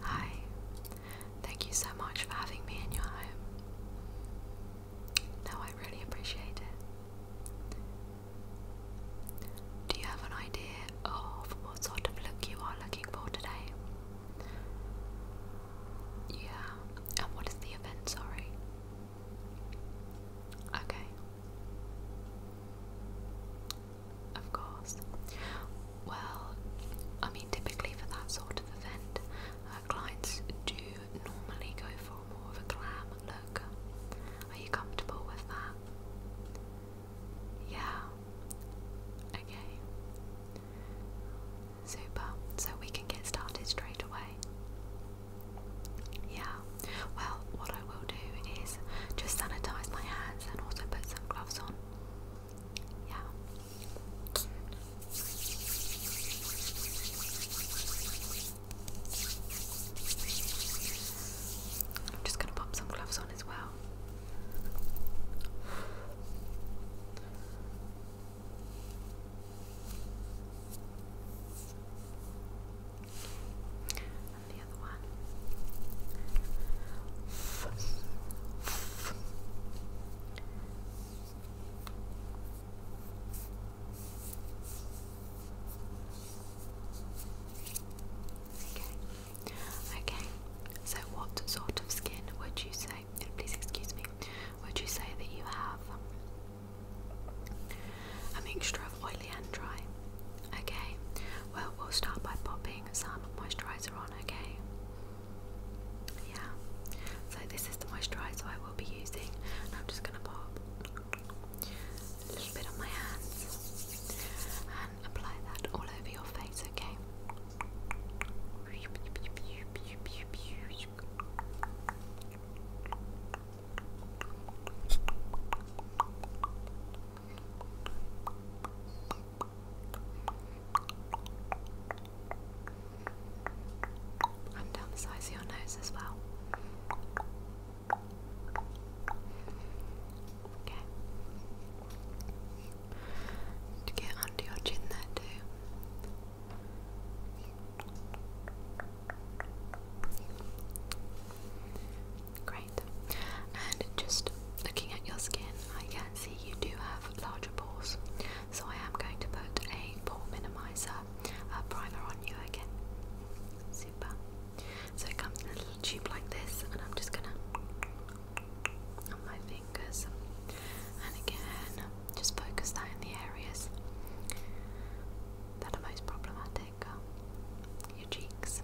Hi, thank you so much for having me in your home. No, I really appreciate it. Do you have an idea of what sort of look you are looking for today? Yeah, and what is the event? Sorry. Okay. Of course. Well, I mean, typically for that sort of event, uh, clients do normally go for more of a glam look. Are you comfortable with that? Yeah. Okay. Super. So we can get started straight away. Yeah. Well, what I will do is just sanitize my hands and also put some gloves on I'm just gonna pop some gloves on as well. Okay. Okay. So, what sort of skin would you say? please excuse me. Would you say that you have? a mixture of oily and dry. Okay, well, we'll start by popping putting some moisturizer on, okay? Yeah. So this is the moisturizer I will be using, and I'm just gonna pop a little bit on my hands and apply that all over your face, Okay, and down the size of your nose as well. Okay. To get under your chin there too. Great. And just looking at your skin, I can see you do have larger pores. So I am going to put a pore minimizer a uh, primer on you again. Super. So it comes in a little tube like this, and I'm just gonna on my fingers, and again, just focus that in the areas that are most problematic. Uh, your cheeks,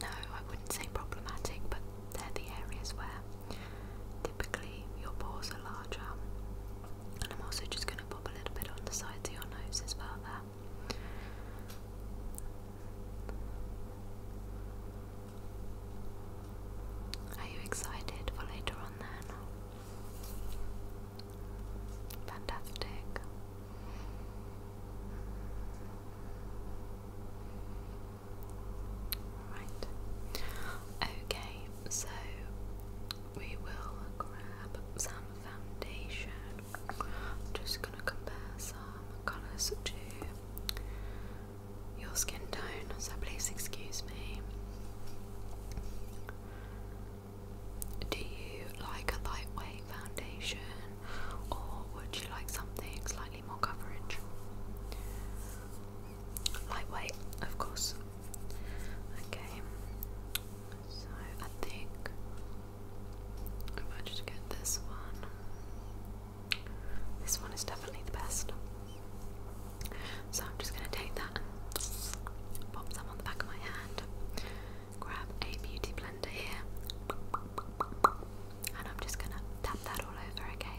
no, I wouldn't say problematic, but they're the areas where typically your pores are larger. And I'm also just going to pop a little bit on the sides of your nose as well there. Are you excited for later on then? Fantastic. Right. Okay, so we will grab some foundation. I'm just gonna compare some colours to your skin tone, so please excuse me. Do you like a lightweight foundation or would you like something slightly more coverage? Lightweight, of course. Okay, so I think I am going to get this one. This one is definitely the best. So I'm just going to take that and pop some on the back of my hand grab a beauty blender here, and I'm just gonna tap that all over, okay?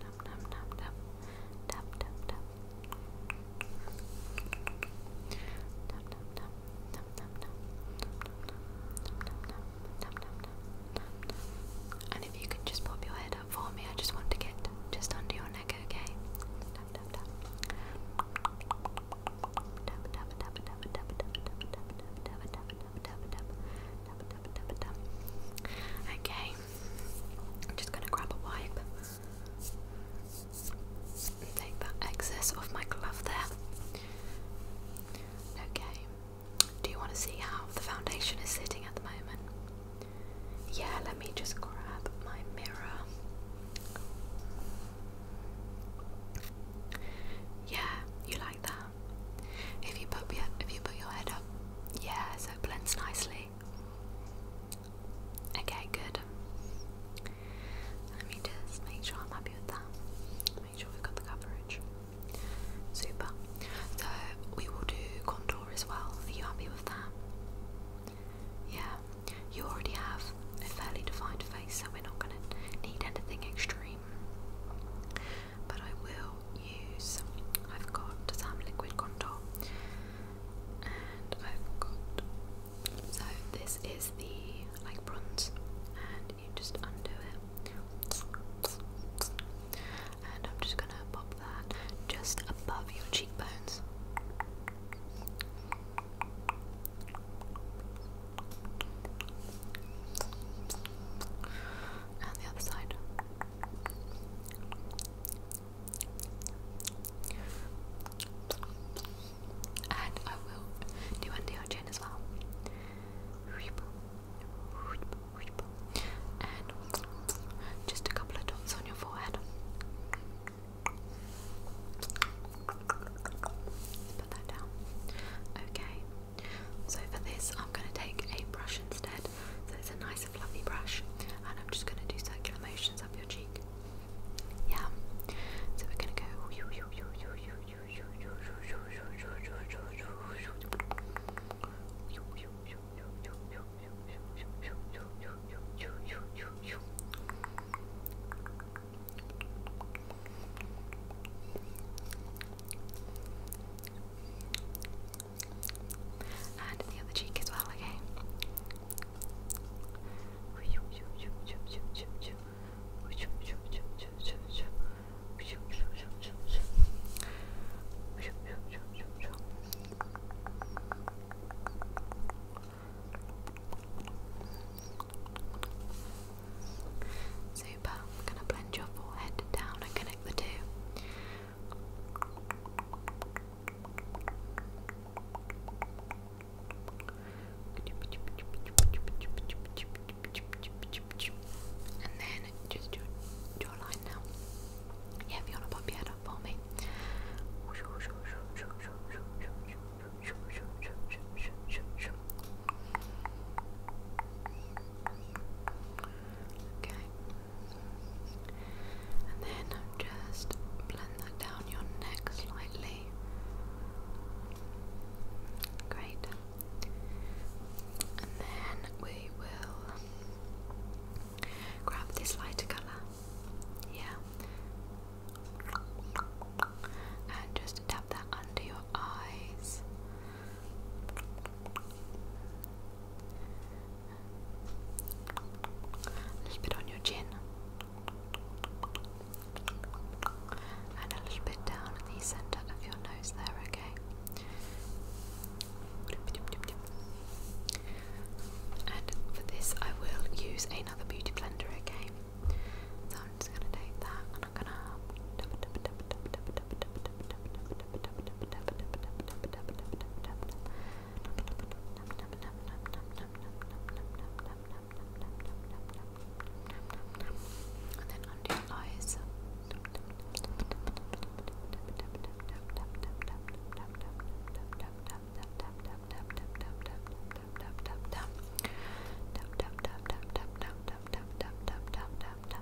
tap, tap, tap, tap, tap, tap, tap, tap, tap, tap, tap, tap, tap, tap, tap, and if you could just pop your head up for me, I just want to get just under your neck, okay? Tap, tap, tap, tap, tap, tap, tap, tap, tap, tap, tap, tap, tap, tap, tap, tap, tap, tap, Okay, I'm just gonna grab a wipe take that excess off my glove there. Okay, do you want to see how the foundation is sitting at the moment? Yeah, let me just grab my mirror. Yeah, you like that. If you put your, if you put your head up, yeah, so it blends nicely. Okay, good. Let me just make sure I'm happy with that. Make sure we've got the coverage. Super. So we will do contour as well. Are you happy with that? Yeah. You already have a fairly defined face, so we're not going to need anything extreme. But I will use. I've got some liquid contour and I forgot. So this is the like bronze, and you just undo it, and I'm just gonna pop that just above your cheekbones. And the other side. And I will do anti-hygiene as well. And just a couple of dots on your forehead. Put that down. Okay. So for this, I'm going to take a brush instead, so it's a nice and fluffy brush and I'm just going to do circular motions up your cheek. Yeah. So we're going to go. And the other cheek as well, okay? Super, I'm going to blend your forehead down and connect the two. And then just now. Yeah, if you wanna for me. Okay. And then just blend that down your neck slightly. Great. And then we will grab this lighter colour. Yeah. And just tap that under your eyes. A little bit on your chin. And a little bit down in the centre of your nose there, okay? And for this, I will use another beauty blender, okay? So I'm just going to take that and I'm going to. And then under your eyes.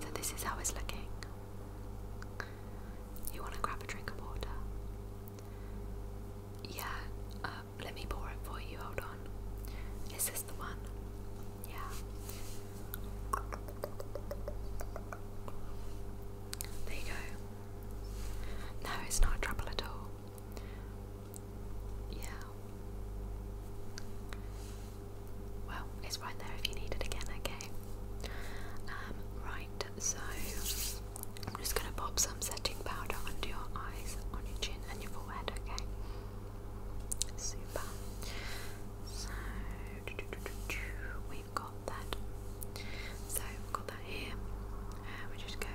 So this is how it's looking. You want to grab a drink of water? Yeah, uh, let me pour it for you. Hold on. Is this the one? Yeah. There you go. No, it's not trouble at all. Yeah. Well, it's right there if you need it again, okay? Um, right, so I'm just gonna pop some setting powder under your eyes, on your chin, and your forehead, okay? Super. So, we've got that. So, we've got that here. Uh, we just go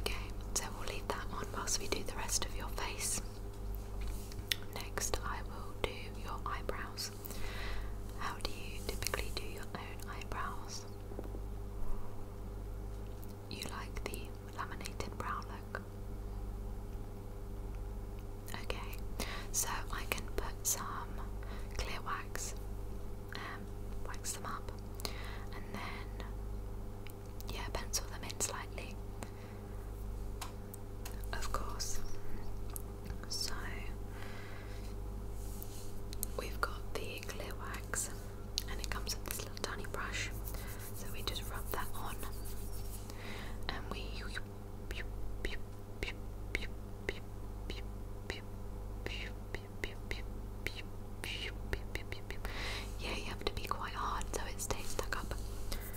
Okay, so we'll leave that on whilst we do the rest of your face. Next, I will do your eyebrows. How do you typically do your own eyebrows? You like the laminated brow look? Okay, so I can put some clear wax, um, wax them up, and then yeah, pencil them in slightly, of course. So we've got the clear wax, and it comes with this little tiny brush. So we just rub that on, and we. Yeah, you have to be quite hard so it stays stuck up.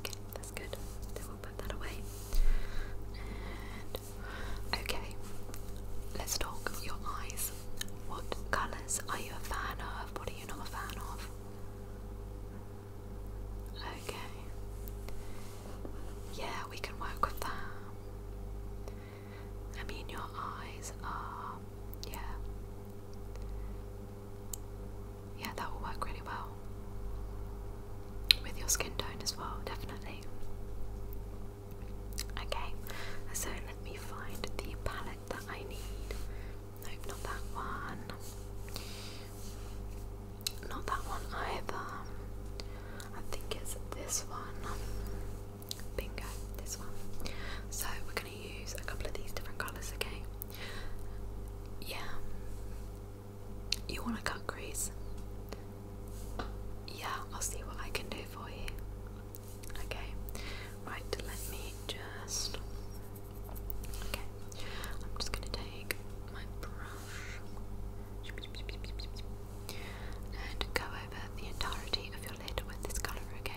Okay, that's good. we'll put that away. okay, let's talk your eyes. What colours are you a fan of? What are you not a fan of? Okay. Yeah, we can work with that. I mean, your eyes are, yeah. Yeah, that will work really well. With your skin tone as well, definitely. Okay, so let me find the palette that I need. Nope, not that one. Not that one either. I think it's this one. Bingo, this one. So we're going to use a couple of these different colours, okay? Yeah. You want to cut crease? Yeah, I'll see what I can do for you. Okay, right, let me just. Okay, I'm just going to take my brush. And go over the entirety of your lid with this colour, okay?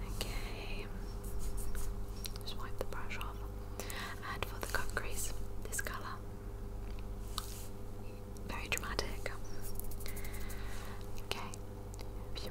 Okay. Just wipe the brush off. And for the crease, this colour. Very dramatic. Okay. Phew.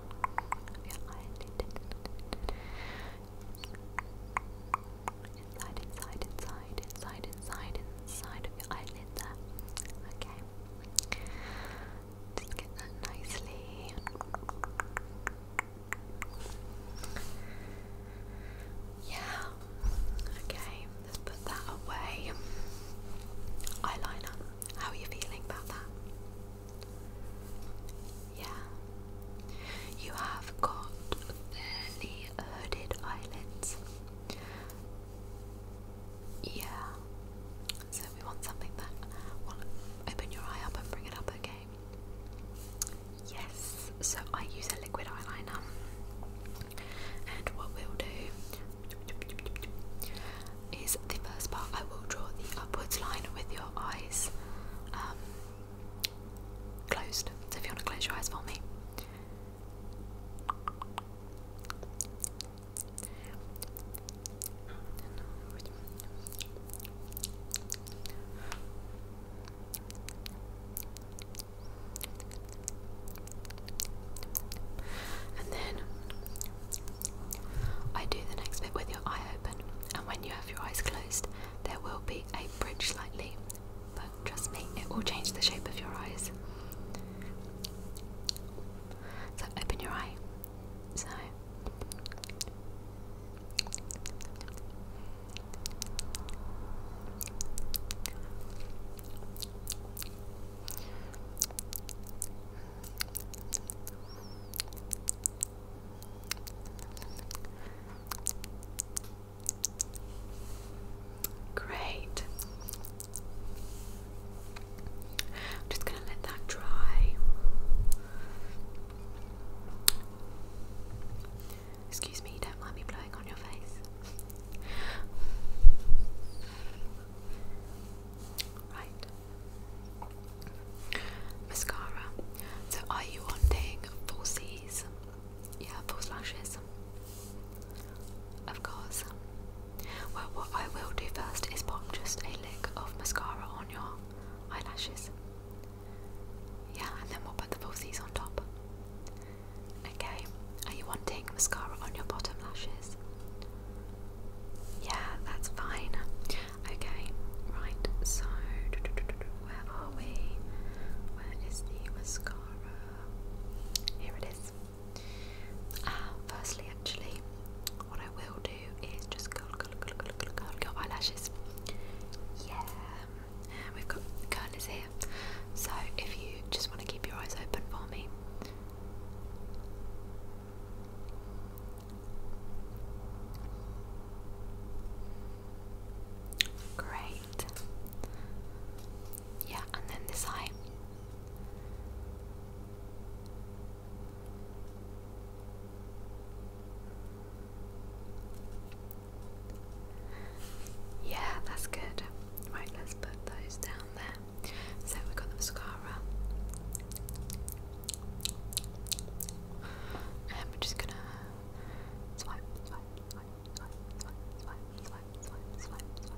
Inside, inside, inside, inside, inside, inside of your eyelid Okay. Just get that nicely. Yeah. Okay, let's put that away. Eyeliner. How are you feeling about that? Yeah. You have got fairly hooded eyelids. Yeah. So we want something that will open your eye up and bring it up, okay? Yes. So I use a liquid eyeliner. And what we'll do is the first part. I will draw the upwards line with your eyes um, closed. So if you want to close your eyes for me. And then I do the next bit with your eye open, and when you have your eyes closed, there will be a bridge slightly, but trust me, it will change the shape of your eyes. So open your eye. So. Great. I'm just going to let that dry. Excuse me, you don't mind me blowing on your face. Right. Mascara. So are you wanting falsies? Yeah, false lashes. Of course. Well, what I will do first is pop just a lick of mascara on your eyelashes. Yeah, and then we'll put the falsies on top. Okay, are you wanting mascara on your bottom lashes? Yeah, that's fine. Okay, right, so where are we? Where is the mascara? Here it is. Ah, firstly, actually, what I will do is just curl, curl, curl, curl, curl, curl your eyelashes. Yeah, and we've got curlers here. So if you just want to keep your eyes open for me. Great. Yeah, and then this eye. Yeah, that's good. Right, let's put those down there. So we have got the mascara. And we're just gonna swipe, swipe, swipe, swipe, swipe, swipe, swipe, swipe, swipe, swipe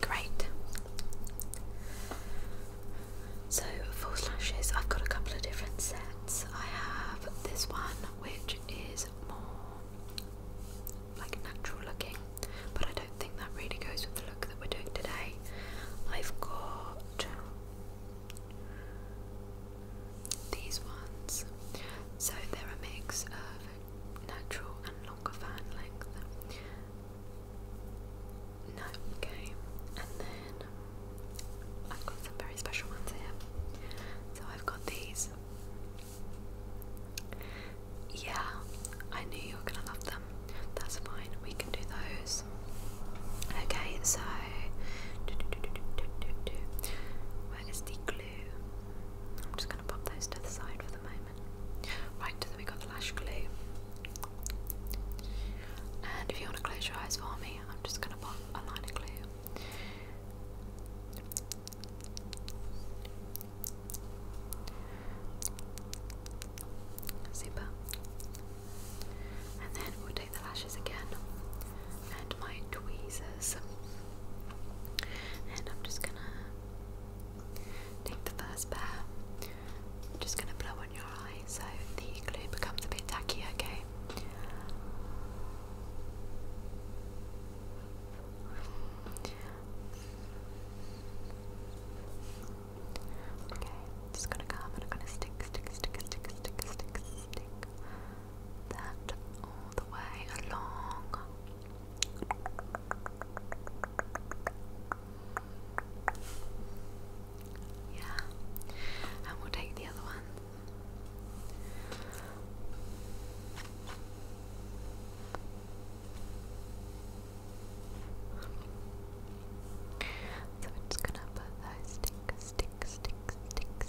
Great. So for slashes, I've got a couple of different sets. I have this one, which is more like natural looking, but I don't think that really goes with the look that we're doing today. I've got these ones, so they're a mix of natural and longer fan length. No, okay. And then um, I've got some very special ones here. So I've got these. Yeah, I knew you were gonna love them. That's fine, we can do those. Okay, so. Where is the glue? I'm just going to pop those to the side for the moment. Right, then we got the lash glue. And if you want to close your eyes for me, I'm just going to pop a line of glue. Super. And then we'll take the lashes again and my tweezers. And I'm just gonna take the first pair. I'm just gonna blow on your eye so the glue becomes a bit tacky, okay? Okay, just gonna come and I'm gonna stick, stick, stick, stick, stick, stick, stick that all the way along yeah, and we'll take the other one. So we're just gonna put those stick, stick, stick, stick,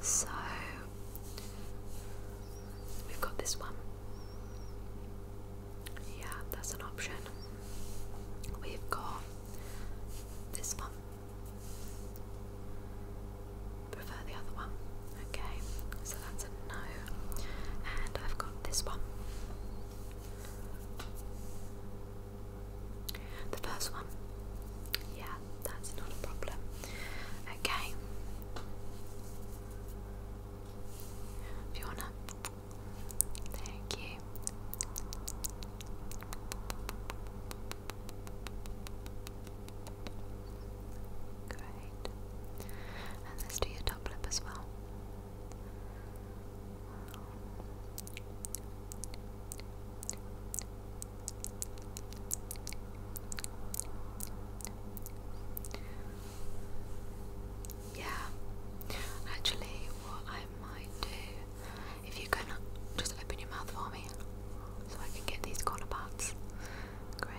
so we've got this one. Yeah, that's an option. We've got this one. Prefer the other one. Okay, so that's a no. And I've got this one. The first one. Yeah, that's not a problem. Okay. Fiona. Thank you. Great. And let's do your top lip as well. Yeah, actually, what I might do, if you can just open your mouth for me so I can get these corner parts. Great.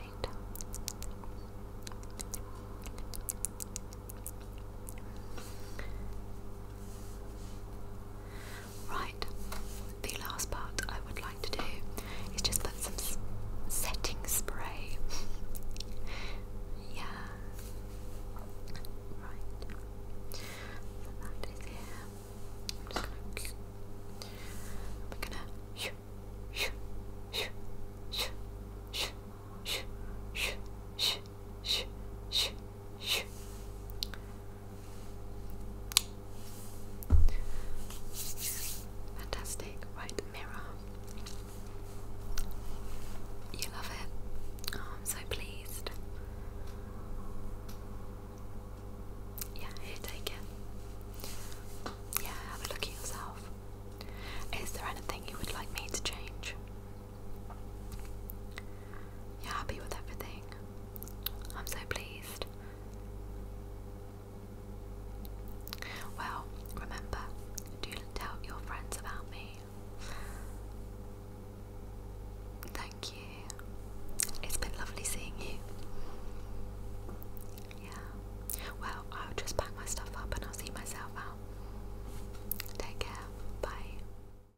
Right, the last part I would like to do is just put some setting spray. yeah. Right. So that is here. I'm just gonna. We're gonna. Fantastic, right? Mirror. You love it. I'm so pleased. Yeah, here, take it. Yeah, have a look at yourself. Is there anything you would like me to change? You're happy with everything. I'm so pleased. Well, remember, do tell your friends about me. Thank you. It's been lovely seeing you. Yeah. Well, I'll just pack my stuff up and I'll see myself out. Take care. Bye.